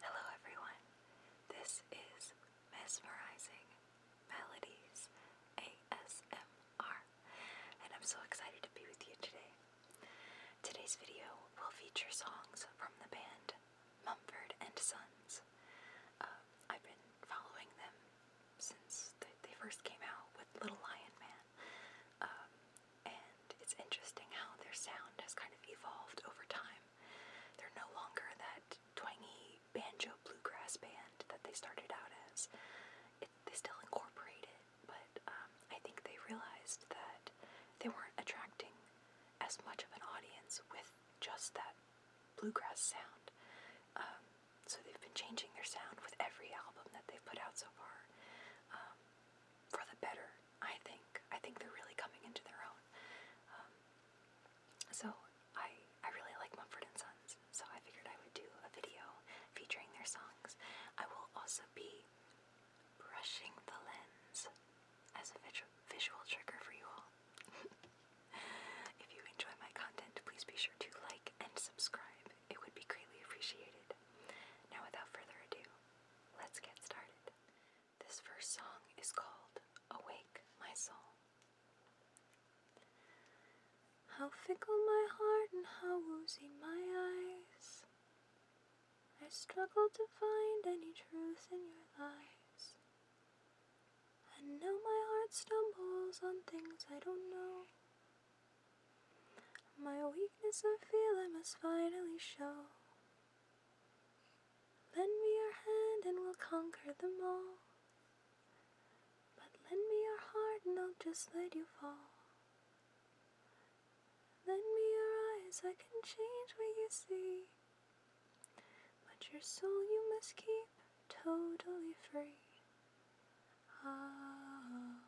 Hello, everyone. This is Mesmerizing Melodies ASMR, and I'm so excited to be with you today. Today's video will feature songs from the band Mumford and Sons. Uh, I've been following them since they, first came out with Little Lion Man, um, and it's interesting how their sound has kind of evolved over time. They're no longer that twangy banjo bluegrass band that they started out as. they still incorporate it, but um, I think they realized that they weren't attracting as much of an audience with just that bluegrass sound. Um, so they've been changing their sound with every album that they've put out so far, um, for the better. I think. I think they're really coming into their own. Um, so I I really like Mumford and Sons. So I figured I would do a video featuring their songs. I will also be brushing the lens as a visual trigger for you all. if you enjoy my content, please be sure to like and subscribe. It would be greatly appreciated. Now, without further ado, let's get started. This first song is called Awake My Soul. How fickle my heart and how woozy my eyes. I struggle to find any truth in your lies. And now my heart stumbles on things I don't know. My weakness I feel I must finally show. Lend me your hand and we'll conquer them all. But lend me your heart and I'll just let you fall. Lend me your eyes, I can change what you see. But your soul you must keep totally free. Ah,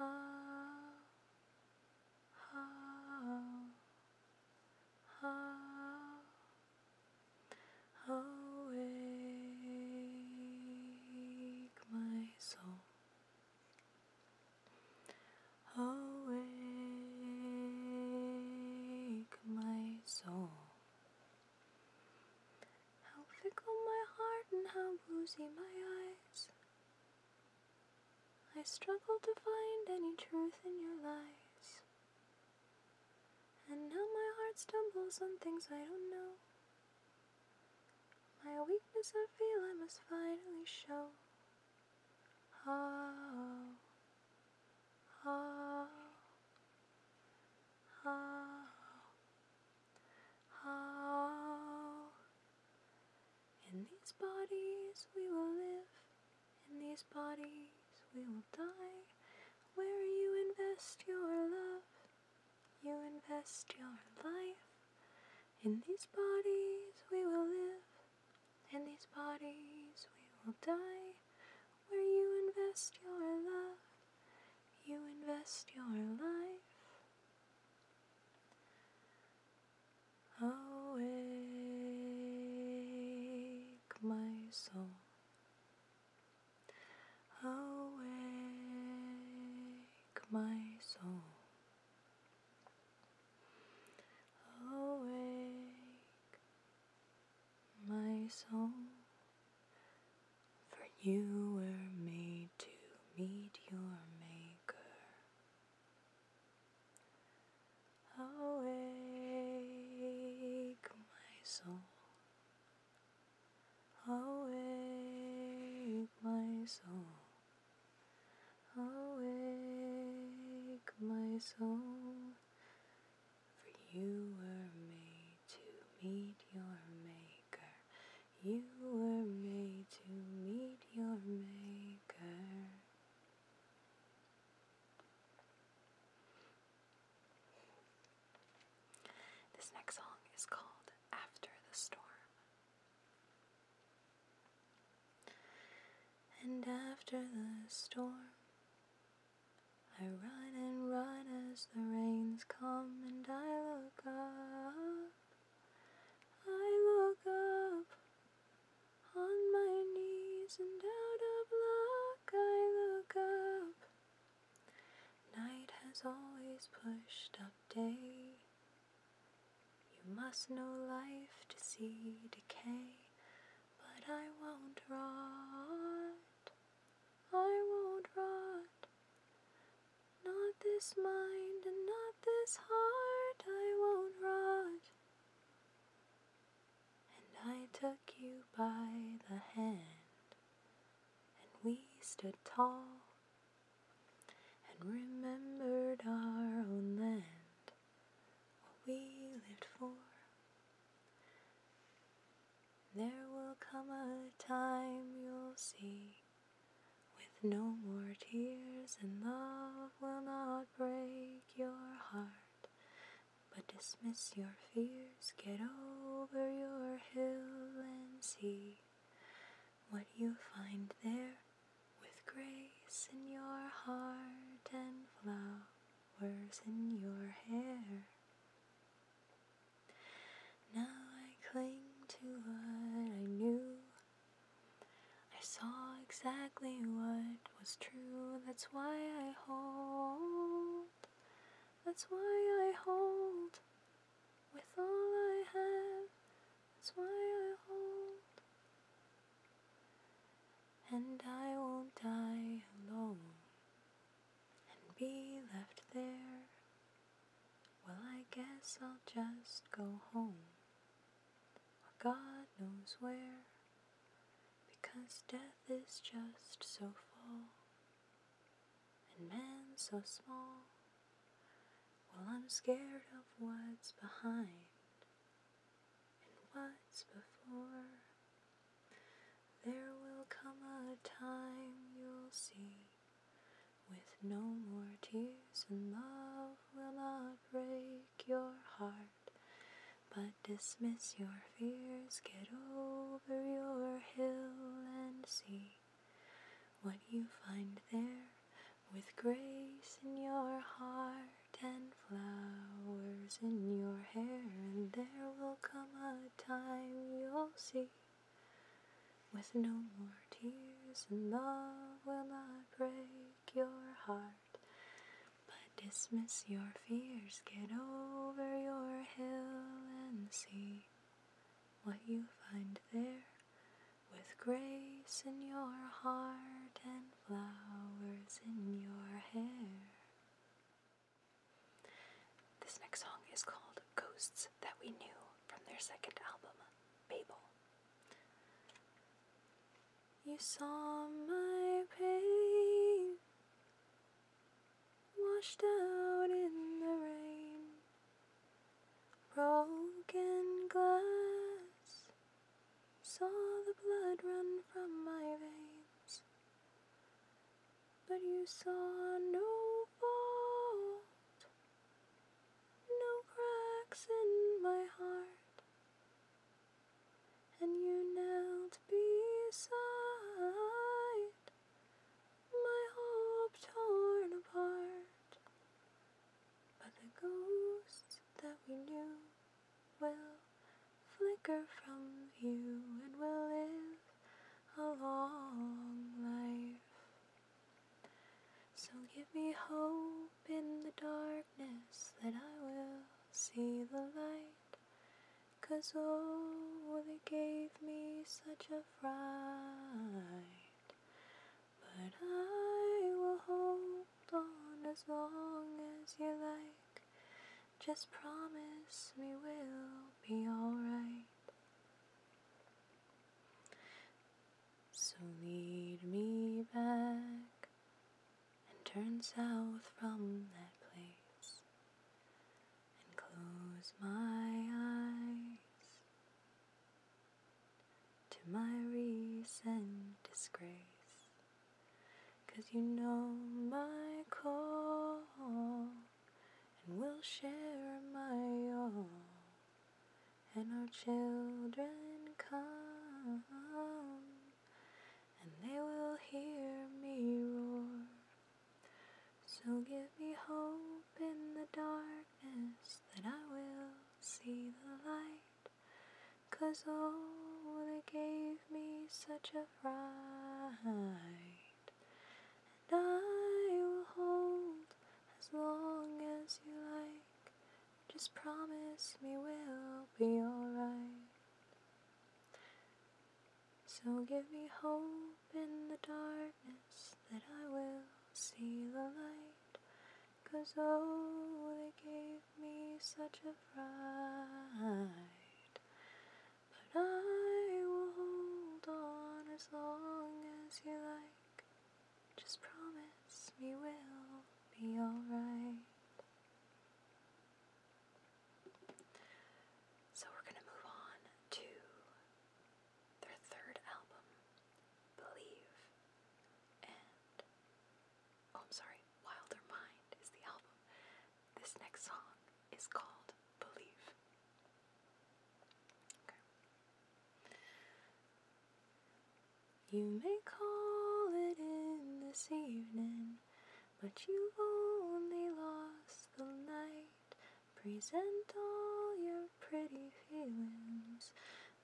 ah, ah, ah, awake, my soul. Awake, my soul. How fickle my heart and how woozy my eyes. I struggle to find any truth in your lies. And now my heart stumbles on things I don't know. My weakness I feel I must finally show. Oh, oh, oh, oh. In these bodies we will live, in these bodies we will die. Where you invest your love, you invest your life. In these bodies we will live, in these bodies we will die. Where you invest your love, you invest your life. Awake, my soul. Awake, my soul. Awake, my soul, for you were made to meet your Maker. Awake, my soul, awake, my soul. Awake, my soul, for you were made to meet your Maker. You were made to meet your Maker. This next song is called After the Storm and after the storm, I run and run as the rains come, and I look up. I look up on my knees and out of luck. I look up. Night has always pushed up day. You must know life to see decay, but I won't rot. I won't rot. Not this mind and not this heart, I won't rot. And I took you by the hand, and we stood tall and remembered our own land, what we lived for. There will come a time you'll see, with no more tears, and love will not break your heart, but dismiss your fears, get over your hill and see what you find there with grace in your heart and flowers in your hair. Now I cling to what I knew. I saw exactly what was true. That's why I hold. That's why I hold with all I have, that's why I hold. And I will die alone and be left there. Well, I guess I'll just go home, or God knows where, because death is just so far and man so small. Well, I'm scared of what's behind and what's before. There will come a time you'll see with no more tears, and love will not break your heart. But dismiss your fears, get over your hill and see what you find there with grace in your heart and flowers in your hair. And there will come a time you'll see with no more tears, and love will not break your heart. But dismiss your fears, get over your hill and see what you find there with grace in your heart and flowers in your hair. This next song is called Ghosts That We Knew from their second album, Babel. You saw my pain washed out in the rain. Broken glass, saw the blood run from my veins, but you saw no fault, no cracks in my heart, and you knelt beside my hope torn apart. But the ghosts that we knew will flicker from view and will live a long life. So give me hope in the darkness that I will see the light. Cause oh, they gave me such a fright. But I will hold on as long as you like. Just promise me we'll be alright. So lead me back and turn south from that place and close my eyes to my recent disgrace. Cause you know my call, and we'll share my all, and our children come, and they will hear me roar. So give me hope in the darkness that I will see the light. Cause oh, they gave me such a fright. And I will hold as long as you like. Just promise me we'll be alright. So give me hope in the darkness that I will see the light. Cause oh, they gave me such a fright. But I will hold on as long as you like. Just promise we will be alright. So we're going to move on to their third album, Believe, and oh, I'm sorry, Wilder Mind is the album. This next song is called Believe. Okay. You may call it in this evening, but you have only lost the night. Present all your pretty feelings,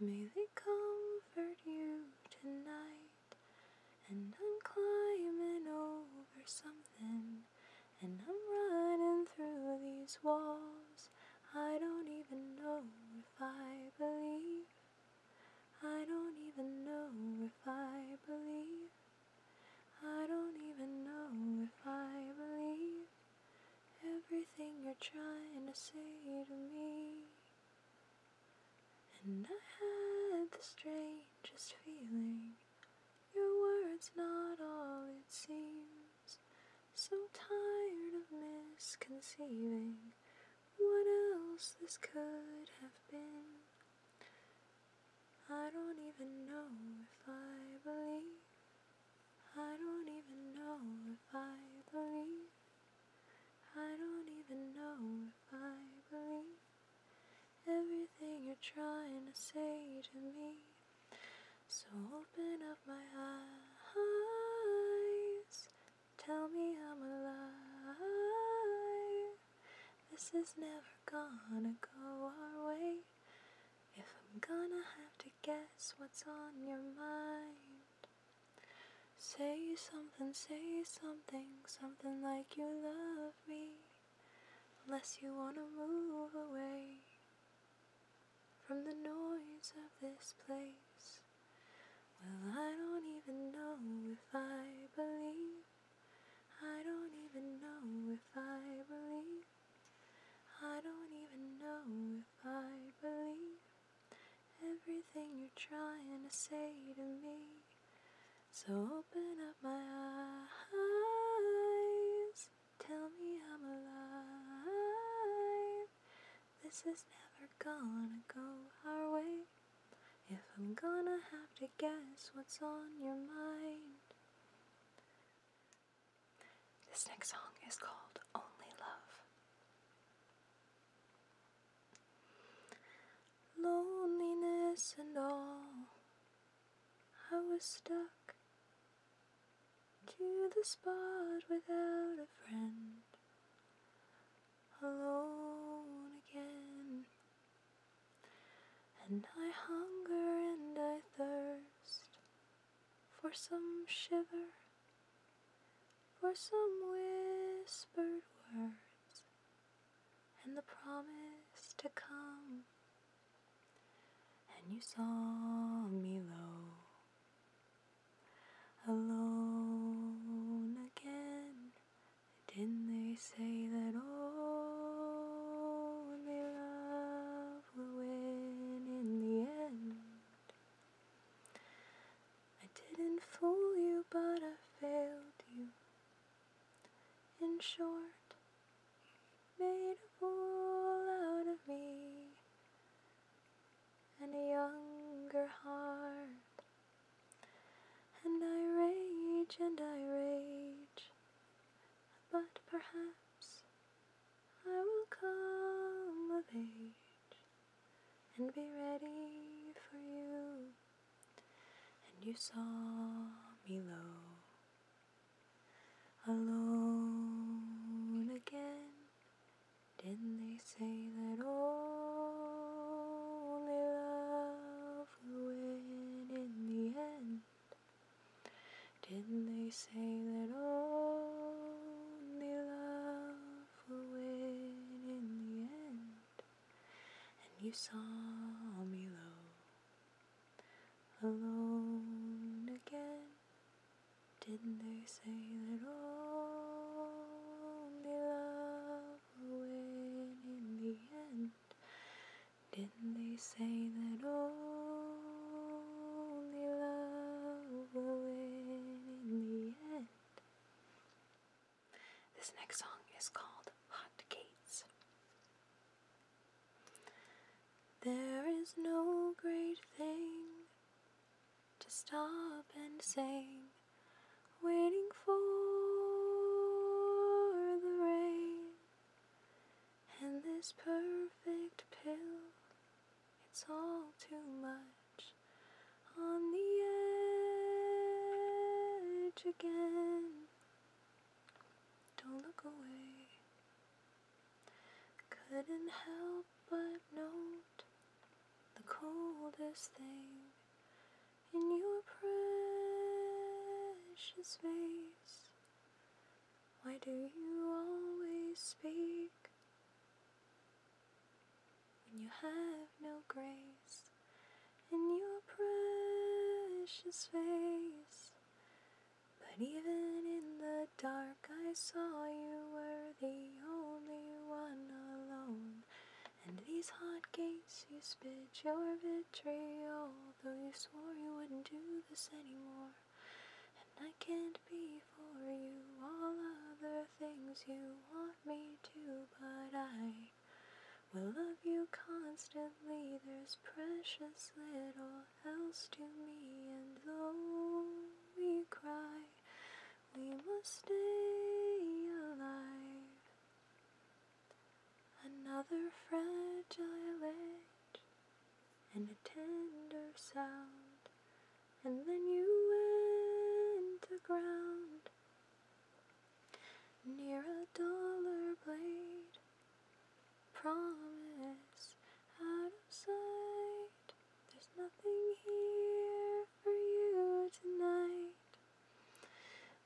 may they comfort you tonight. And I'm climbing over something, and I'm running through these walls. I don't even know if I believe. I don't even know if I believe. I don't even know if I believe everything you're trying to say to me. And I had the strangest feeling your words not all it seems. So tired of misconceiving what else this could have been. I don't even know if I believe. I don't even know if I believe. I don't even know if I believe. Everything you're trying to say to me. So open up my eyes. Tell me I'm alive. This is never gonna go our way. If I'm gonna have to guess what's on your mind, say something, say something, something like you love me, unless you wanna move away from the noise of this place. Well, I don't even know if I believe. I don't even know if I believe. I don't even know if I believe everything you're trying to say to me. So open up my eyes, tell me I'm alive. This is never gonna go our way. If I'm gonna have to guess what's on your mind, this next song is called Only Love. Loneliness and all, I was stuck to the spot without a friend. Alone again, and I hunger and I thirst for some shiver, for some whispered words, and the promise to come. And you saw me low, alone again, didn't they say that only love will win in the end. I didn't fool you, but I failed you. In short, made a fool out of me and a younger heart. And I rage and I rage but perhaps I will come of age and be ready for you. And you saw me low, alone again. Didn't they say that only love will in the end? Didn't they say that only love will win in the end? And you saw me low, alone again. Didn't they say that only love will win in the end? Didn't they say that only love will win in the end? This next song is called Hot Gates. There is no great thing to stop and sing, waiting for the rain and this perfect pill, it's all too much on the edge again. Don't look away. Couldn't help but note the coldest thing in your precious face. Why do you always speak when you have no grace in your precious face? But even in the dark, I saw you were the only one alone. And these hot gates, you spit your vitriol. Although you swore you wouldn't do this anymore. And I can't be for you all other things you want me to, but I will love you constantly. There's precious little else to me, and though we cry, we must stay alive another fragile edge and a tender sound, and then you went to ground near a dollar blade. Promise out of sight, there's nothing here for you tonight.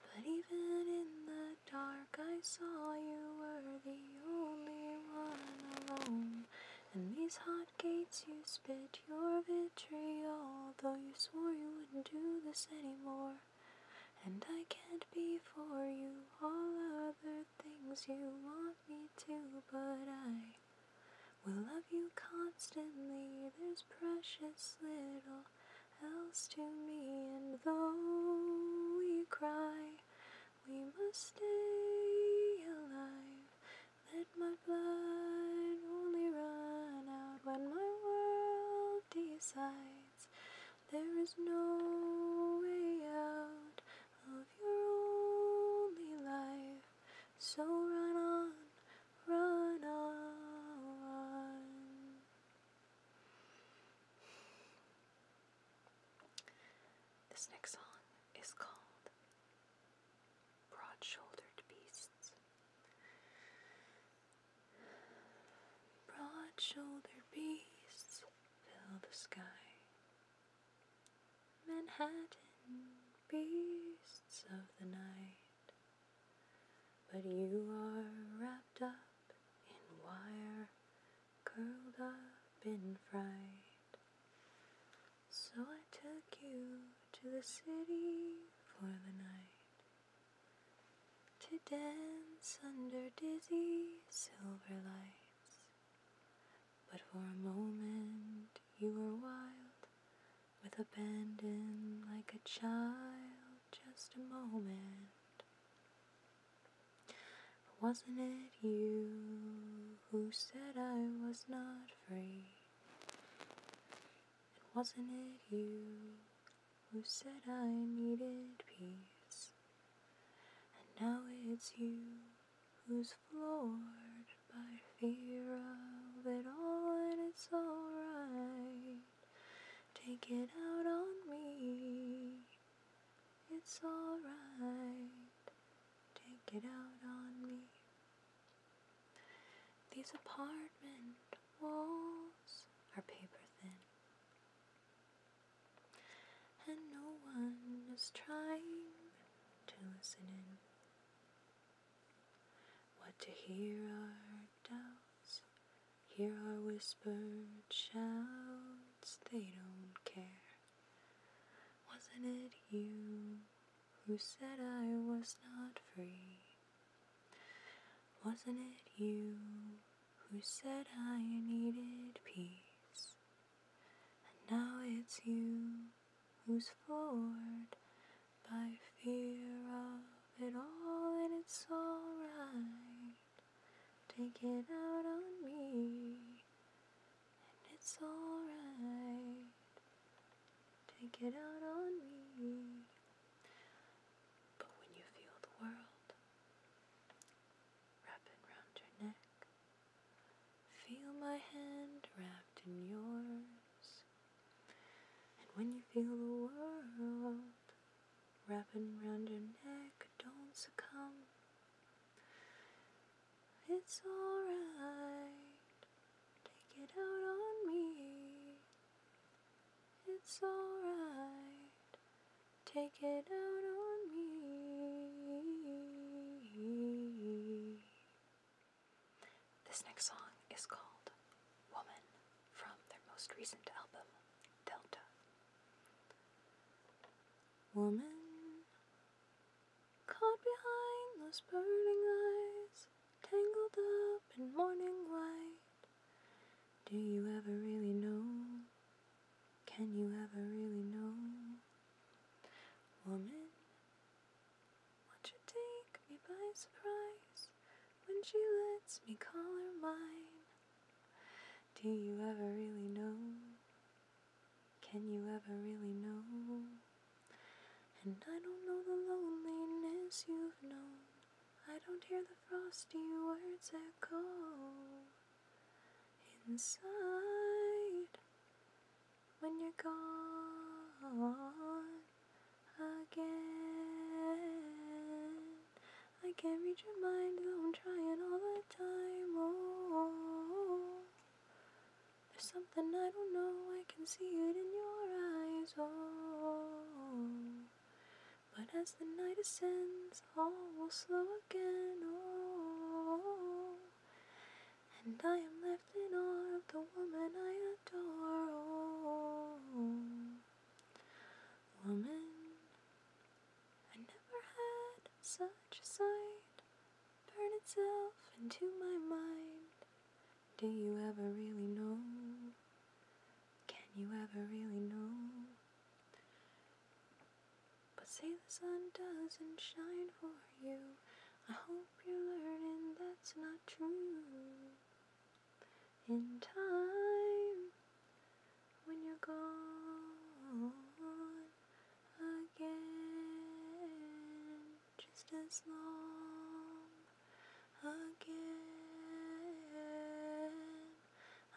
But even in the dark, I saw you were the only one alone. And these hot gates, you spit your vitriol, though you swore you wouldn't do this anymore. And I can't be for you all other things you want me to, but I will love you constantly. There's precious little else to me. And though we cry, we must stay alive. Let my blood only run out when my world decides there is no way out of your only life. So run on, run on. This next song is called Broad Shouldered Beasts. Broad shouldered beasts fill the sky. Manhattan beasts of the night. But you are wrapped up in wire, curled up in fright. So I took you to the city for the night to dance under dizzy silver lights. But for a moment you were wild with abandon like a child just a moment. Wasn't it you who said I was not free? wasn't it you who said I needed peace? And now it's you who's floored by fear of it all, and it's alright. Take it out on me. It's alright. Take it out on me. These apartment walls are paper thin. And no one is trying to listen in. What to hear are doubts. Here are whispered shouts, they don't care. Wasn't it you who said I was not free? Wasn't it you who said I needed peace? And now it's you who's forward by fear of it all, and it's alright. Take it out on me, and it's alright. Take it out on me. But when you feel the world wrapping round your neck, feel my hand wrapped in yours. And when you feel the world wrapping round your neck, don't succumb. It's alright, take it out on me. It's alright, take it out on me. This next song is called Woman from their most recent album, Delta. Woman, caught behind those burning eyes, tangled up in morning light. Do you ever really know? Can you ever really know? Woman, won't you take me by surprise when she lets me call her mine? Do you ever really know? Can you ever really know? And I don't know the loneliness you've known. I don't hear the frosty words echo inside when you're gone again. I can't reach your mind, though I'm trying all the time. Oh, there's something I don't know. I can see it in your eyes. Oh, but as the night ascends, all will slow again. Oh, and I am left in awe of the woman I adore. woman, I never had such sight burn itself into my mind. Do you ever really know? Can you ever really know? But say the sun doesn't shine for you. I hope you're learning that's not true in time when you're gone again, just as long again.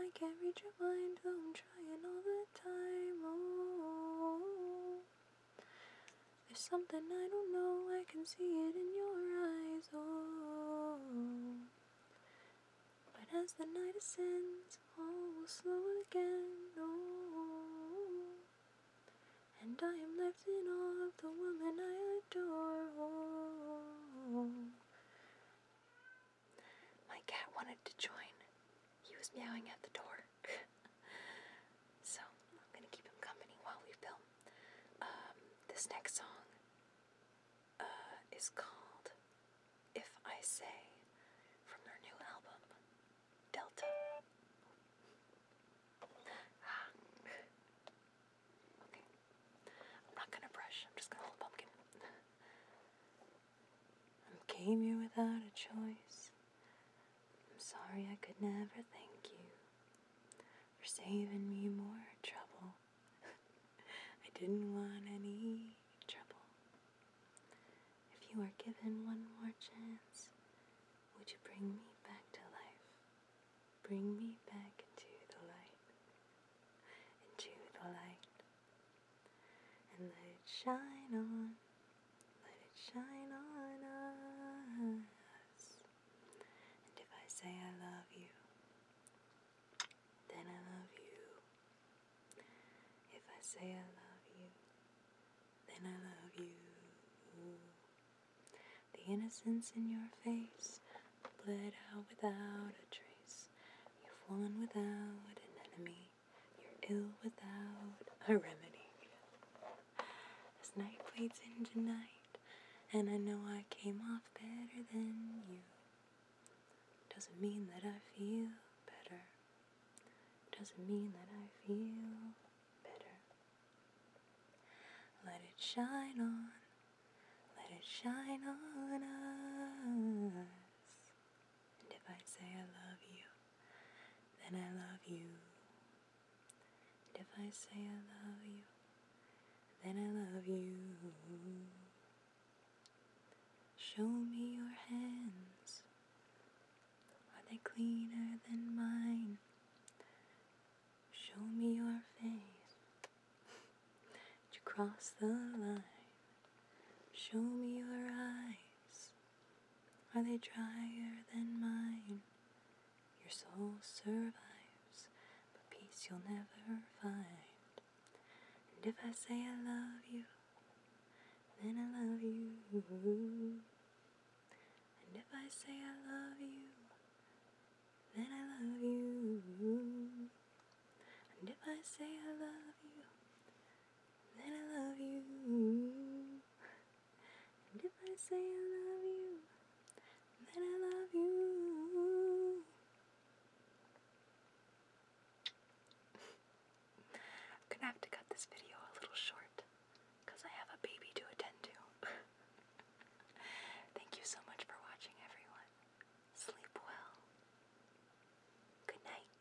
I can't reach your mind, though I'm trying all the time. Oh. There's something I don't know, I can see it in your eyes, oh. But as the night ascends, all will slow again, oh. And I am left in awe of the woman I adore, oh. My cat wanted to join. He was meowing at the door. so I'm gonna keep him company while we film. Um, this next song uh, is called If I Say from their new album, Delta. Ah. Okay. I'm not gonna brush, I'm just gonna hold a pumpkin. I came here without a choice. I'm sorry I could never thank you for saving me more trouble. I didn't want any trouble. If you are given one more chance, would you bring me back to life? Bring me back into the light, into the light, and let it shine on let it shine on us. And if I say I love you, then I love you. If I say I love you, then I love you. The innocence in your face bled out without a trace. You've won without an enemy. You're ill without a remedy. This night bleeds into night, and I know I came off better than you. Doesn't mean that I feel better. Doesn't mean that I feel better. Let it shine on, let it shine on us. And if I say I love you, then I love you if I say I love you, then I love you. Show me your hands. Are they cleaner than mine? Show me your face. Did you cross the line? Show me your eyes. Are they drier than mine? Your soul survives, but peace you'll never find. And if I say I love you, then I love you. And if I say I love you, then I love you. And if I say I love you, then I love you. And if I say I love you, then I love you. gonna have to cut this video a little short I have a baby to attend to. Thank you so much for watching, everyone. Sleep well. Good night.